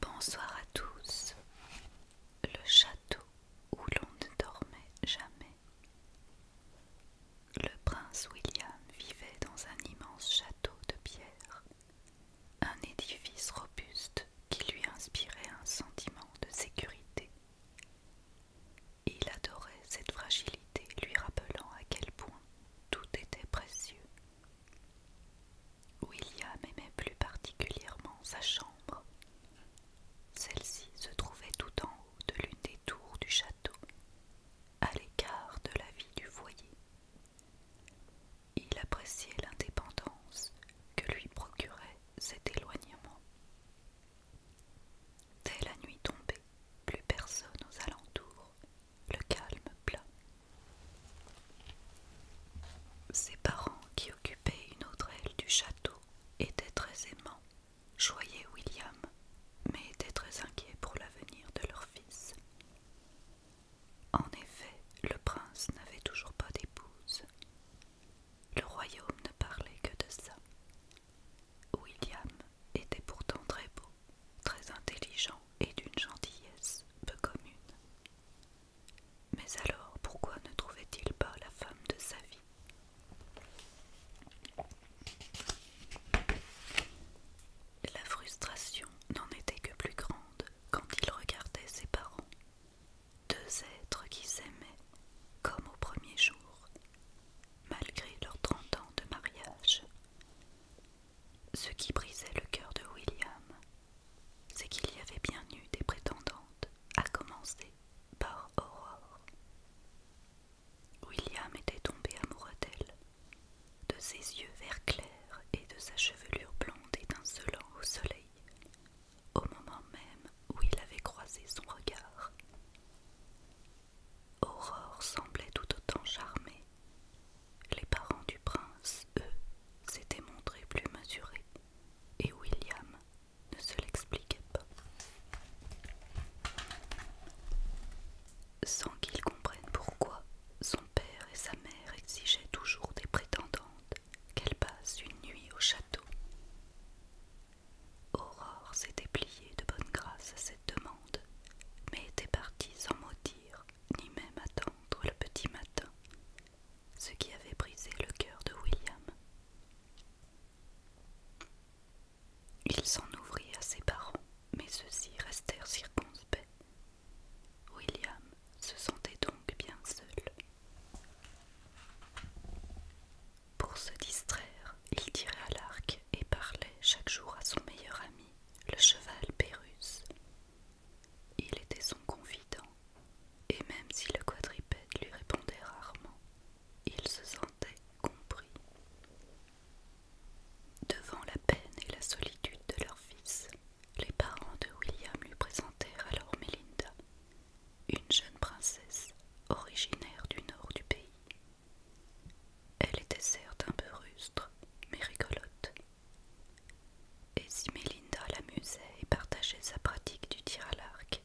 Bonsoir à tous. Le château où l'on ne dormait jamais. Le prince William vivait dans un immense château de pierre, un édifice robuste qui lui inspirait un sentiment de sécurité il adorait cette fragilité, lui rappelant à quel point tout était précieux. William aimait plus particulièrement sa chambre. Celle-ci se trouvait tout en haut de l'une des tours du château, à l'écart de la vie du foyer. Il appréciait l'indépendance que lui procurait cet éloignement. Dès la nuit tombée, plus personne aux alentours, le calme plat. Ses parents, qui occupaient une autre aile du château, étaient très aimants, joyaient William, mais étaient très inquiets pour l'avenir de leur fils. En effet, le prince n'avait toujours pas d'épouse, le royaume ne parlait que de ça. William était pourtant très beau, très intelligent et d'une gentillesse peu commune. Mais alors pourquoi ne trouvait-il pas la femme de sa vie La frustration n'en était que plus grande quand il regardait ses parents, deux êtres qui s'aimaient comme au premier jour, malgré leurs trente ans de mariage. Ce qui brisait le cœur de William, c'est qu'il y avait bien eu des prétendantes, à commencer par Aurore. William était tombé amoureux d'elle, de ses yeux vert clair et de sa chevelure blonde étincelant au soleil, au moment même où il avait croisé son regard. Aurore semblait tout autant charmée. Les parents du prince, eux, s'étaient montrés plus mesurés, et William ne se l'expliquait pas. Sans qu'ils comprennent pourquoi, son père et sa mère exigeaient toujours des prétendantes qu'elle passe une nuit au château. Aurore s'était pliée de bonne grâce à cette demande, mais était partie sans mot dire, ni même attendre le petit matin, ce qui avait brisé le cœur de William. Il s'en ouvrit à ses parents, mais ceux-ci restèrent circonspects. William se sentait donc bien seul. Pour se distraire, il tirait à l'arc et parlait chaque jour à son meilleur ami, le cheval Pérus. Il était son confident, et même si le quadripède lui répondait rarement, il se sentait compris. Devant la peine et la solitude de leur fils, les parents de William lui présentèrent alors Mélinda, une jeune princesse originaire du nord du pays. Elle était certes un peu rustre, mais rigolote. Et si Mélinda l'amusait et partageait sa pratique du tir à l'arc,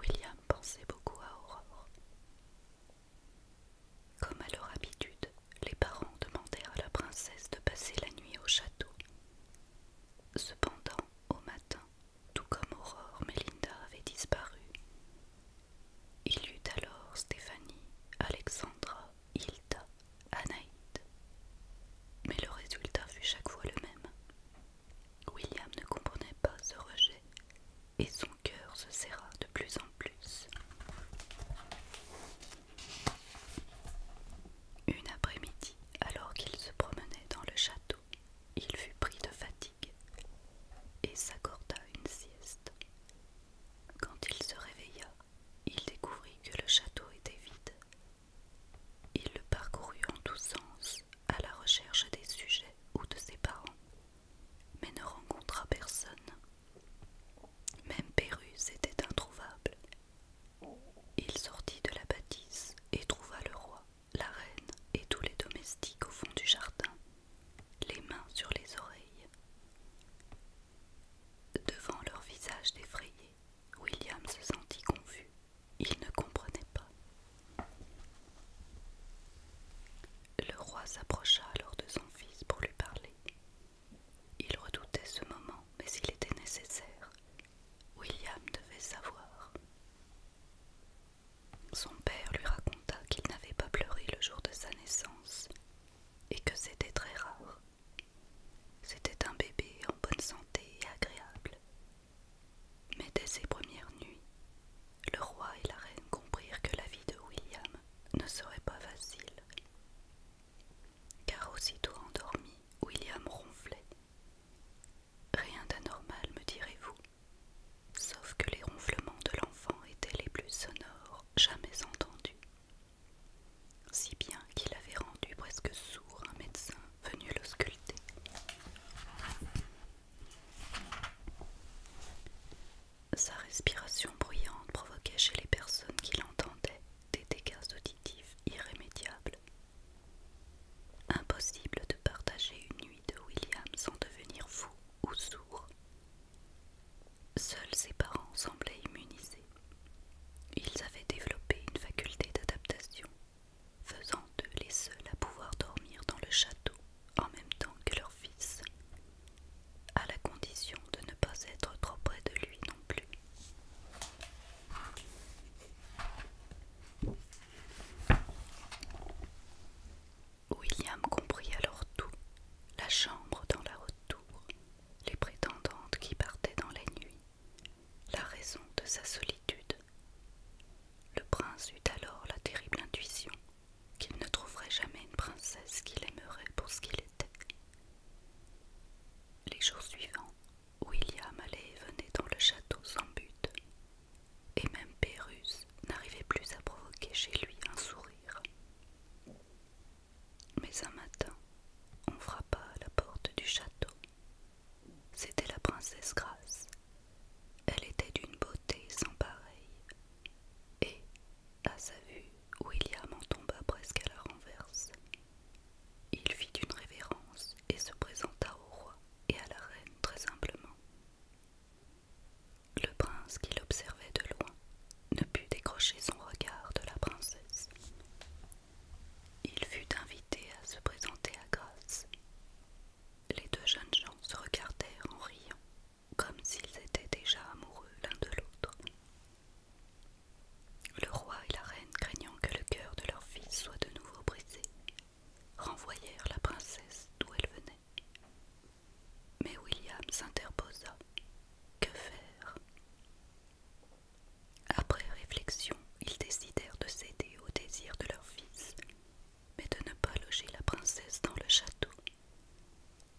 William pensait beaucoup à Aurore. Comme à leur habitude, les parents demandèrent à la princesse de passer la nuit au château, Cependant, au matin, tout comme Aurore, Melinda avait disparu. Il y eut alors Stéphanie, Alexandra, Hilda, Anaïd. Mais le résultat fut chaque fois le même. William ne comprenait pas ce rejet et son cœur se serra de plus en plus. Une après-midi, alors qu'il se promenait dans le château, il fut pris de fatigue et s'accorda une sieste. Quand il se réveilla, il découvrit que le château était vide. Il le parcourut en tous sens à la recherche des sujets ou de ses parents, mais ne rencontra personne. Même Pérus était introuvable il sortit de la bâtisse et trouva le roi, la reine et tous les domestiques au fond du jardin, les mains sur les oreilles. Devant leur visage défrayé, William se sentit confus. Il ne comprenait pas. Le roi s'approcha alors de son fils pour lui parler. Il redoutait ce moment, mais il était nécessaire. William devait savoir. Son père lui raconta qu'il n'avait pas pleuré le jour de sa naissance et que c'était très rare. C'était un bébé en bonne santé et agréable. Mais dès ses premières nuits, le roi et la reine comprirent que la vie de William ne serait pas facile car aussitôt endormi, William ronflait. Rien d'anormal, me direz-vous, sauf que les ronflements de l'enfant étaient les plus sonores jamais entendus, si bien qu'il avait rendu presque sourd un médecin venu l'ausculter. Sa respiration bruyante provoquait chez les personnes qui l'entendaient des dégâts auditifs irrémédiables. Impossible de partager une nuit de William sans devenir fou ou sourd. Seuls ses parents semblaient immunisés. Ils avaient développé une faculté d'adaptation, faisant d'eux les seuls à pouvoir dormir dans le château en même temps que leur fils, à la condition de ne pas être trop près de lui non plus. William comprit alors tout, la chambre dans la haute tour, les prétendantes qui partaient dans la nuits, la raison de sa solitude. Le prince eut alors la terrible intuition qu'il ne trouverait jamais une princesse qu'il aimerait pour ce qu'il était, les jours suivants, William allait et venait dans le château sans but, et même Pérus n'arrivait plus à provoquer chez lui un sourire. Mais un matin, on frappa à la porte du château. C'était la princesse Grace. Elle était d'une beauté sans pareille, et, à sa vue, William en tomba presque à la renverse. Il fit une révérence et se présenta au roi et à la reine très simplement. Le prince qui l'observait de loin ne put décrocher son regard de la princesse. Il fut invité à se présenter à grâce Les deux jeunes gens se regardèrent en riant, comme s'ils étaient déjà amoureux l'un de l'autre, le roi et la reine, craignant que le cœur de leur fils soit de nouveau brisé, renvoyèrent la princesse d'où elle venait. Mais William s'interposa. Que faire Après réflexion, ils décidèrent de céder au désir de leur fils, mais de ne pas loger la princesse dans le château.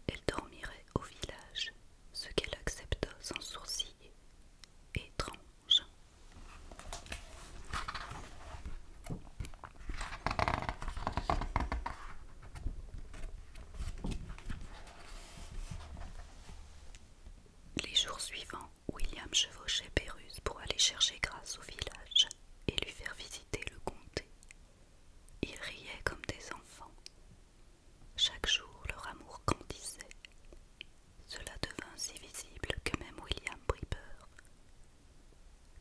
Elle dormirait au village ce qu'elle accepta sans sourciller. Étrange. Les jours suivants, William chevauchait Péruse pour aller chercher grâce au village et lui faire visiter le comté. Il riait comme des enfants, chaque jour, leur amour grandissait. Cela devint si visible que même William prit peur.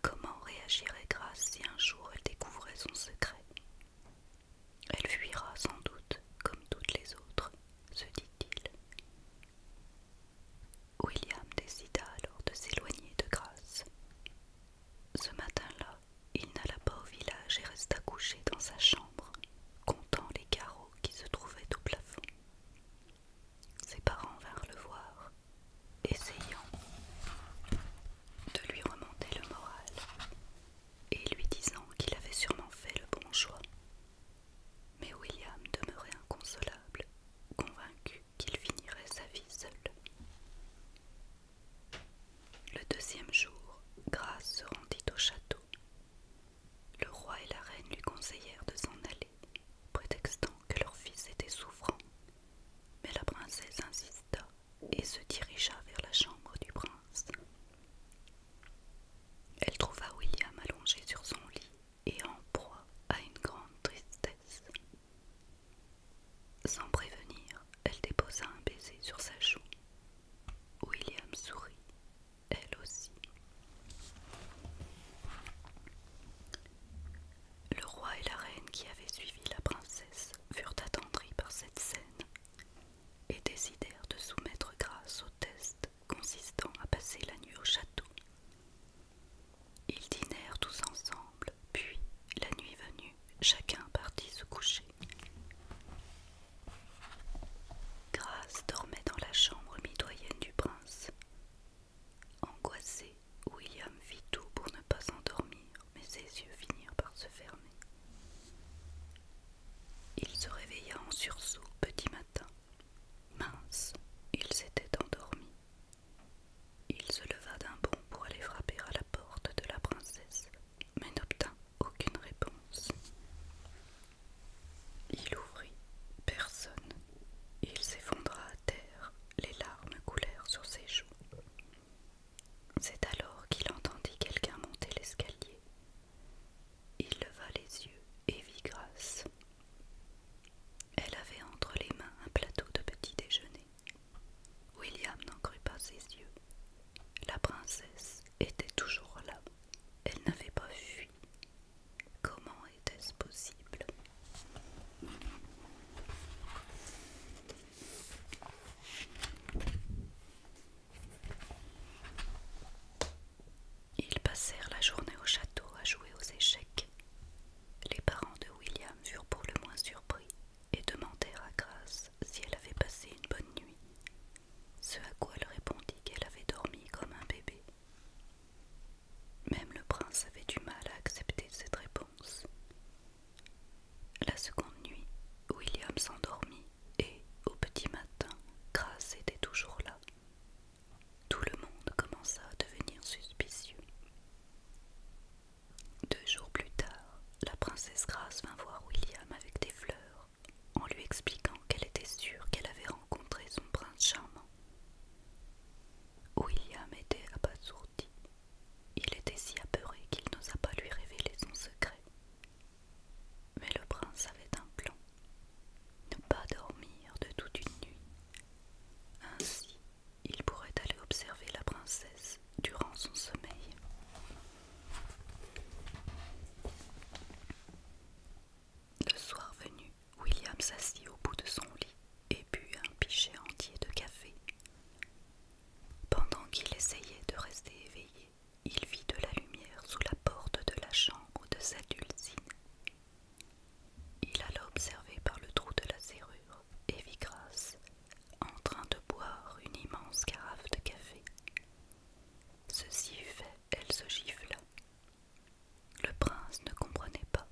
Comment réagirait Grace si un jour elle découvrait son secret Elle fuira sans doute, comme toutes les autres, se dit-il. William décida alors de s'éloigner de Grace. Ce matin-là, il n'alla pas au village et resta couché dans sa chambre, comptant les carreaux qui se trouvaient au plafond. Ses parents vinrent le voir, essayant de lui remonter le moral et lui disant qu'il avait sûrement fait le bon choix. Mais William demeurait inconsolable, convaincu qu'il finirait sa vie seul. Le deuxième jour, Grâce se rendit au château. Le roi et la reine lui conseillèrent de s'en aller, prétextant que leur fils était souffrant. Mais la princesse insista et se dirigea vers la chambre du prince. Elle trouva William allongé sur son lit et en proie à une grande tristesse. Sans prévenir, elle déposa un baiser sur sa joue. William sourit, elle aussi. Le roi et la reine qui avaient suivi la princesse furent attendris par cette scène et décidèrent de soumettre grâce au test consistant à passer la nuit au château. Ils dînèrent tous ensemble, puis, la nuit venue, chacun partit se coucher. Grace dormait dans la chambre mitoyenne du prince. Angoissé, William fit tout pour ne pas s'endormir, mais ses yeux finirent par se fermer. Il se réveilla en sursaut petit matin. Mince, il s'était endormi. Il se leva d'un bond pour aller frapper à la porte de la princesse, mais n'obtint aucune réponse. Il ouvrit, personne. Il s'effondra à terre, les larmes coulèrent sur ses joues. C'est alors qu'il entendit quelqu'un monter l'escalier. Il leva les yeux et vit Grâce. Elle avait entre les mains un plateau de petit déjeuner. William n'en crut pas ses yeux. La princesse était toujours là. Elle n'avait pas fui. Comment était-ce possible Ils passèrent la journée au château à jouer aux échecs. Les parents de William furent pour le moins surpris et demandèrent à Grace si elle avait passé une bonne nuit, ce à quoi elle répondit qu'elle avait dormi comme un bébé. Même le prince avait du mal à accepter cette réponse. La seconde nuit, William s'endormit et, au petit matin, Grace était toujours là. Tout le monde commença à devenir suspicieux. Deux jours plus tard, la princesse Grace vint voir William avec des fleurs, en lui expliquant qu'elle était sûre qu'elle avait rencontré son prince charmant. William était abasourdi. Il était si apeuré qu'il n'osa pas lui révéler son secret. Mais le prince avait un plan ne pas dormir de toute une nuit. Ainsi, il pourrait aller observer la princesse durant son sommeil. Le soir venu, William s'assit au bout de son lit et but un pichet entier de café. Pendant qu'il essayait de rester éveillé, il vit de la lumière sous la porte de la chambre de sa Dulcine. Il alla observer par le trou de la serrure et vit en train de boire une immense carafe de café. Ceci fait, elle se gifla. Le prince ne comprenait pas.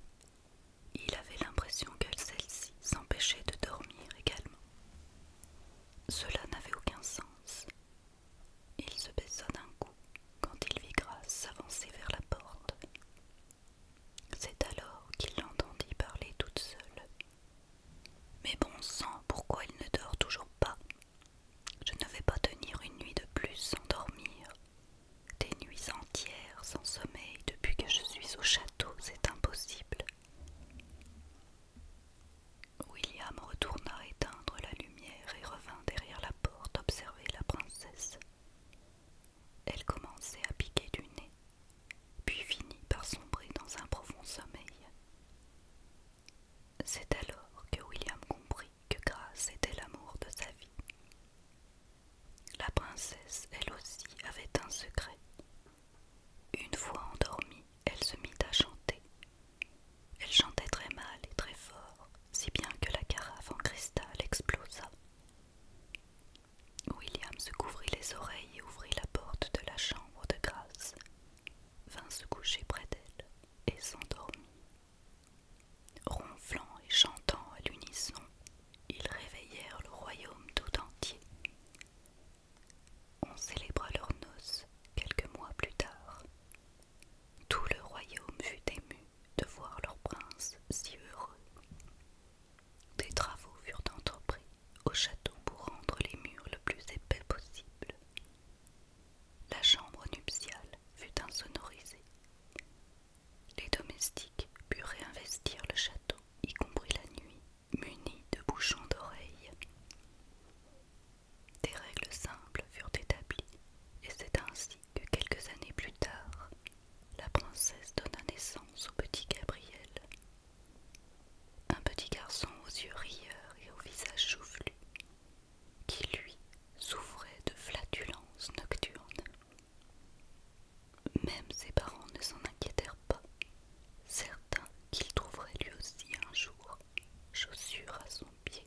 Il avait l'impression que celle-ci s'empêchait de dormir également. Cela n'avait aucun sens. Il se baissa d'un coup quand il vit Grace s'avancer vers la porte. C'est alors qu'il l'entendit parler toute seule, mais bon sang, pourquoi il ne dort toujours pas Je ne vais pas tenir une nuit de plus sans dormir. Des nuits entières sans sommeil depuis que je suis au château, c'est impossible. William retourna éteindre la lumière et revint derrière la porte observer la princesse. Elle commençait à piquer du nez puis finit par sombrer dans un profond sommeil. C'est alors que William comprit que Grace était l'amour de sa vie. La princesse, elle aussi, avait un secret. Une fois endormie, elle se mit à chanter. Elle chantait très mal et très fort, si bien que la carafe en cristal explosa. William se couvrit les oreilles et ouvrit la porte de la chambre de grâce, vint se coucher près d'elle et s'endormit. Ronflant et chantant à l'unisson, ils réveillèrent le royaume tout entier. On célébra leurs noces quelques mois plus tard. Tout le royaume fut ému de voir leur prince si heureux. Des travaux furent entrepris au château pour rendre les murs le plus épais possible. La chambre nuptiale fut insonorisée. Les domestiques purent réinvestir le château, y compris la nuit, munis de bouchons d'oreilles. Des règles simples furent établies, et c'est ainsi que quelques années plus tard, la princesse donna naissance au petit Gabriel, un petit garçon aux yeux rieurs et au visage choufflu, qui lui souffrait de flatulences nocturnes. Même ses parents ne s'en inquiétèrent pas, certains qu'il trouverait lui aussi un jour chaussures à son pied.